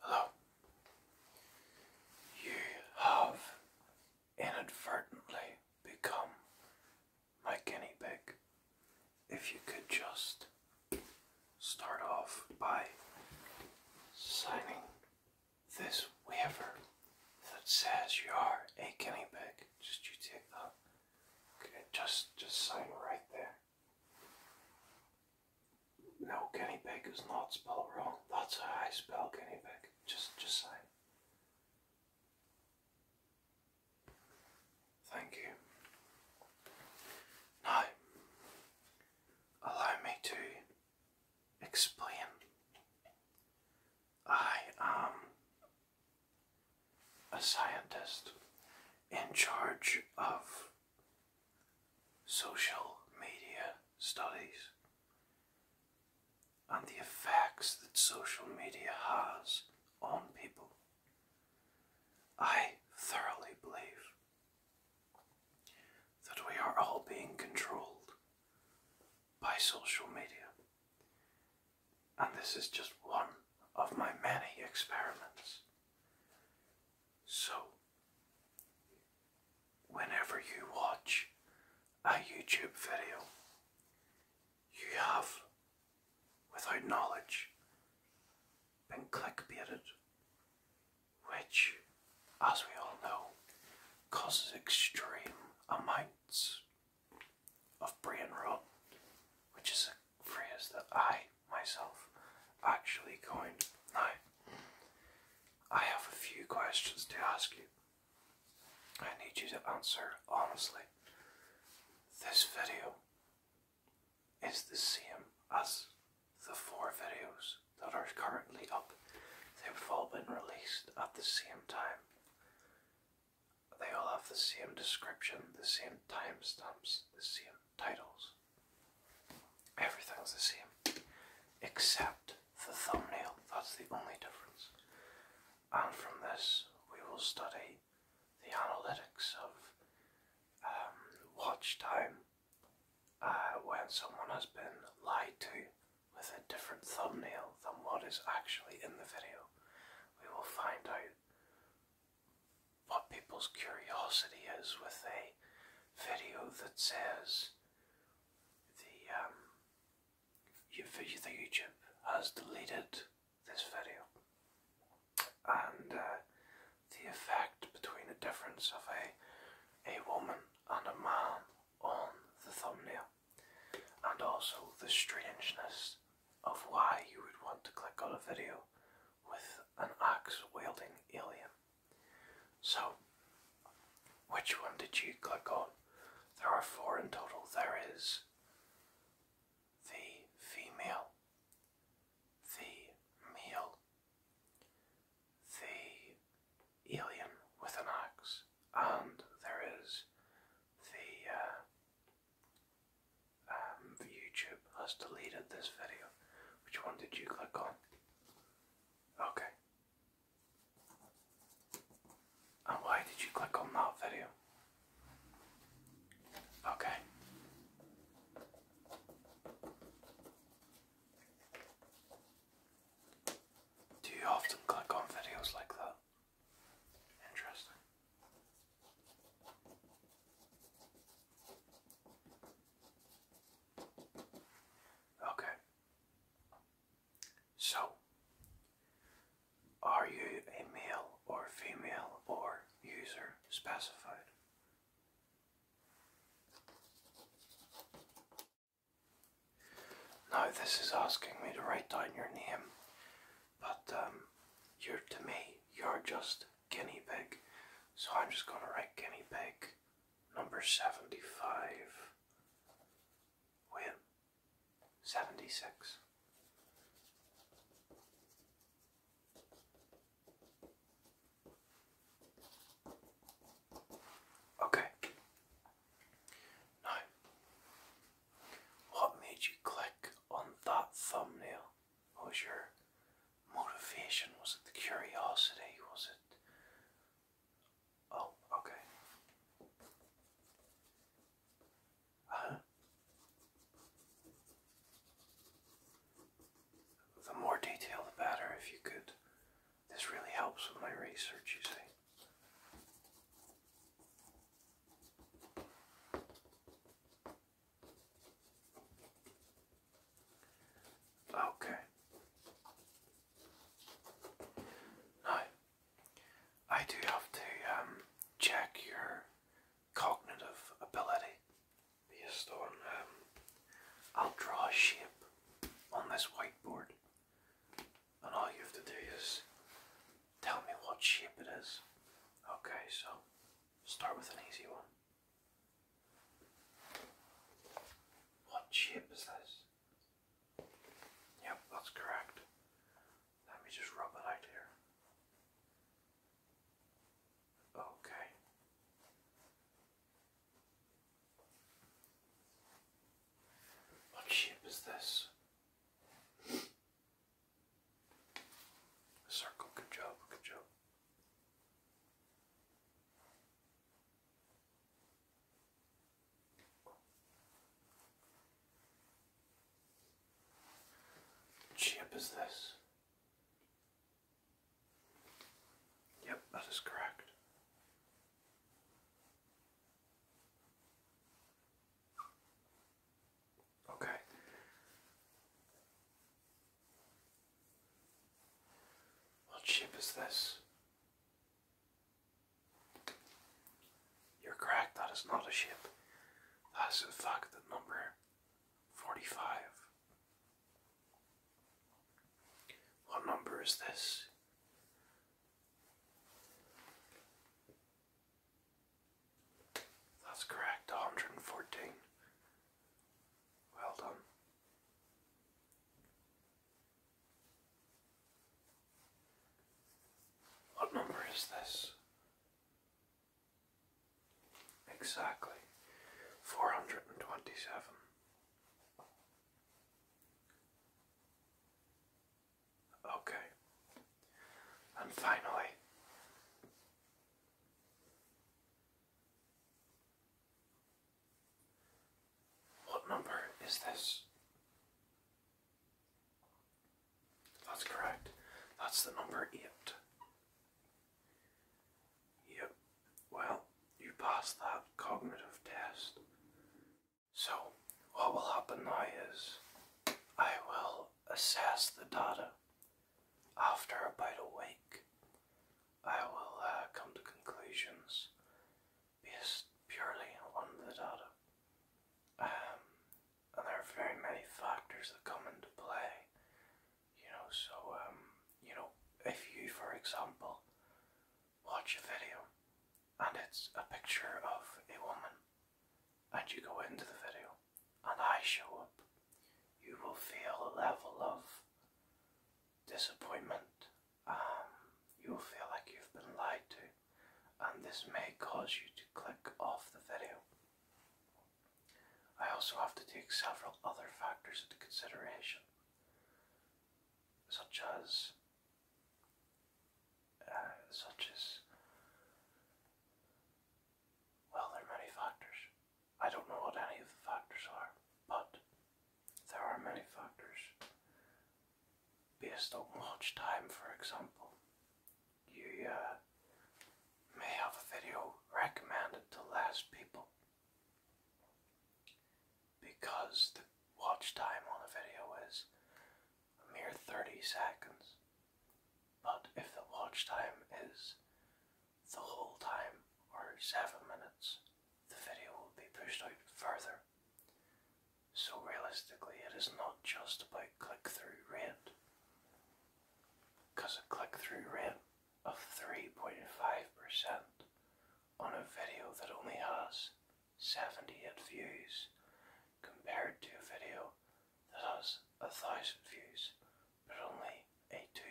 Hello. You have inadvertently become my guinea pig. If you could just start off by signing this waiver that says you are a guinea pig. Just you take that. Okay, just just sign right there. No, guinea pig is not spelled wrong. That's how I spell guinea pig. Just, just say. Thank you. Now, allow me to explain. I am a scientist in charge of social media studies and the effects that social media has on people. I thoroughly believe that we are all being controlled by social media. And this is just one of my many experiments. So, whenever you watch a YouTube video, you have, without knowledge, been clickbaited, which, as we all know, causes extreme amounts of brain rot, which is a phrase that I myself actually going. Now, I have a few questions to ask you. I need you to answer honestly. This video is the same as the four videos that are currently up. They've all been released at the same time. They all have the same description, the same timestamps, the same titles. Everything's the same except the thumbnail, that's the only difference. And from this, we will study the analytics of um, watch time uh, when someone has been lied to with a different thumbnail than what is actually in the video. We will find out what people's curiosity is with a video that says the um, YouTube has deleted this video, and uh, the effect between the difference of a a woman and a man on the thumbnail, and also the strangeness of why you would want to click on a video with an axe wielding alien. So, which one did you click on? There are four in total. There is the female, the male, the alien with an axe, and there is the. Uh, um, YouTube has deleted this video. Which one did you click on? Okay. And why did you click on that video? Okay. Do you often click on videos like that? Interesting. Okay. So, are you a male or female or user specified? Now, this is asking me to write down your name, but um, you're to me, you're just guinea pig. So I'm just going to write guinea pig number 75 win 76. Okay. Now, what made you click on that thumbnail? What was your motivation? Was it the curiosity? Was it. Oh, okay. Uh huh? The more detail, the better, if you could. This really helps with my research, you see. Okay. Now, I do have to um, check your cognitive ability based on. Um, I'll draw a shape on this whiteboard, and all you have to do is tell me what shape it is. Okay, so start with an easy one. What ship is this? Yep, that's correct. Let me just rub it out here. Okay. What shape is this? circle, good job, good job. Chip is this? Yep, that is correct. Okay. What ship is this? You're correct, that is not a ship. That is in fact the number 45. What number is this? That's correct, 114. Well done. What number is this? Exactly. 427. Okay. And finally, what number is this? That's correct. That's the number 8. Yep. Well, you passed that cognitive test. So, what will happen now is I will assess the data after about a week, I will uh, come to conclusions based purely on the data. Um, there are very many factors that come into play, you know. So, um, you know, if you, for example, watch a video and it's a picture of a woman, and you go into the video and I show up you will feel a level of disappointment. Um, you will feel like you've been lied to, and this may cause you to click off the video. I also have to take several other factors into consideration, such as, uh, such as, well, there are many factors. I don't know what any of the factors are, but there are many factors. Based on watch time, for example, you uh, may have a video recommended to less people because the watch time on the video is a mere 30 seconds. But if the watch time is the whole time, or seven minutes, the video will be pushed out further. So realistically, it is not just about click-through rate, because a click-through rate of 3.5% on a video that only has 78 views compared to a video that has a 1000 views but only a 2%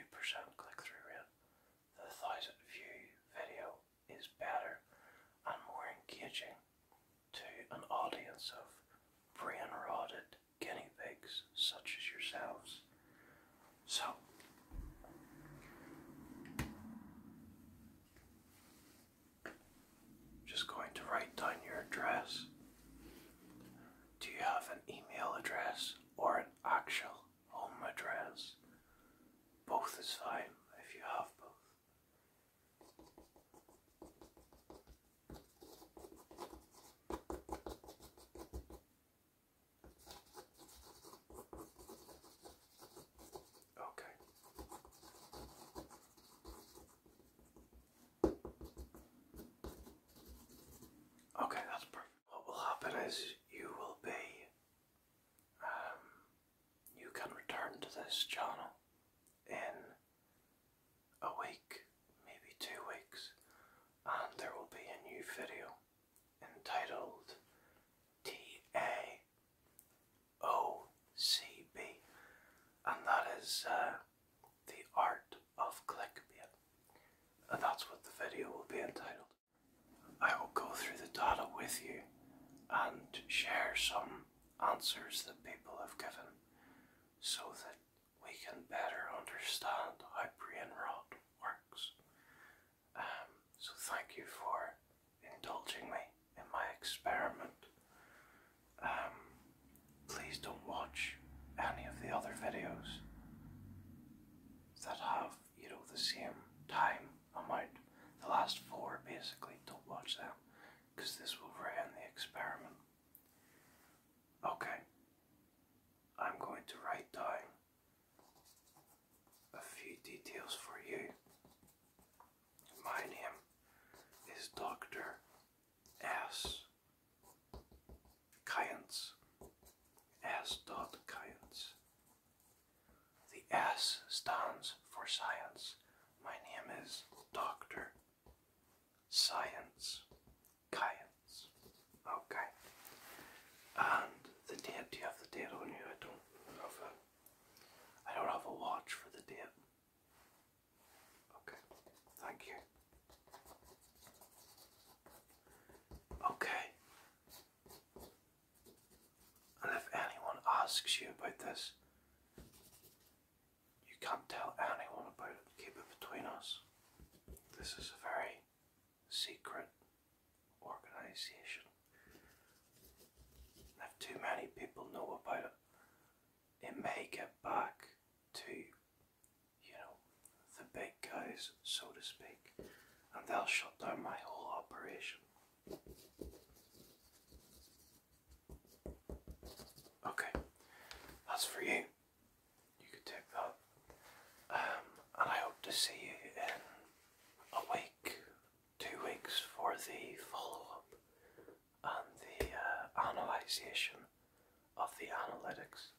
click-through rate the thousand view video is better and more engaging to an audience of brain rotted guinea pigs such as yourselves. So, just going to write down your address. Do you have an email address or an actual home address. Both is fine if you have both. Okay. Okay, that's perfect what will happen is you will be, um, you can return to this channel in a week, maybe two weeks, and there will be a new video entitled T-A-O-C-B, and that is uh, the art of clickbait. And that's what the video will be entitled. I will go through the data with you and share some answers that people have given so that we can better understand how brain rot works. Um, so, thank you for indulging me in my experiment. Um, please don't watch any of the other videos that have, you know, the same time amount, the last four basically, don't watch them because this will ruin the experiment. Okay, I'm going to write down a few details for you. My name is Dr. S. Kyans. S. Kyans. The S stands for science. My name is Dr. Science Kyans. Okay. And the date, do you have the date on you? I don't have a I don't have a watch for the date. Okay, thank you. Okay. And if anyone asks you about this, you can't tell anyone about it. Keep it between us. This is a very secret organization. if too many people know about it, it may get back to you know, the big guys, so to speak, and they'll shut down my whole operation. Okay, that's for you. You can take that. Um, and I hope to see you in a week, two weeks for the follow up and the uh, analysis of the analytics.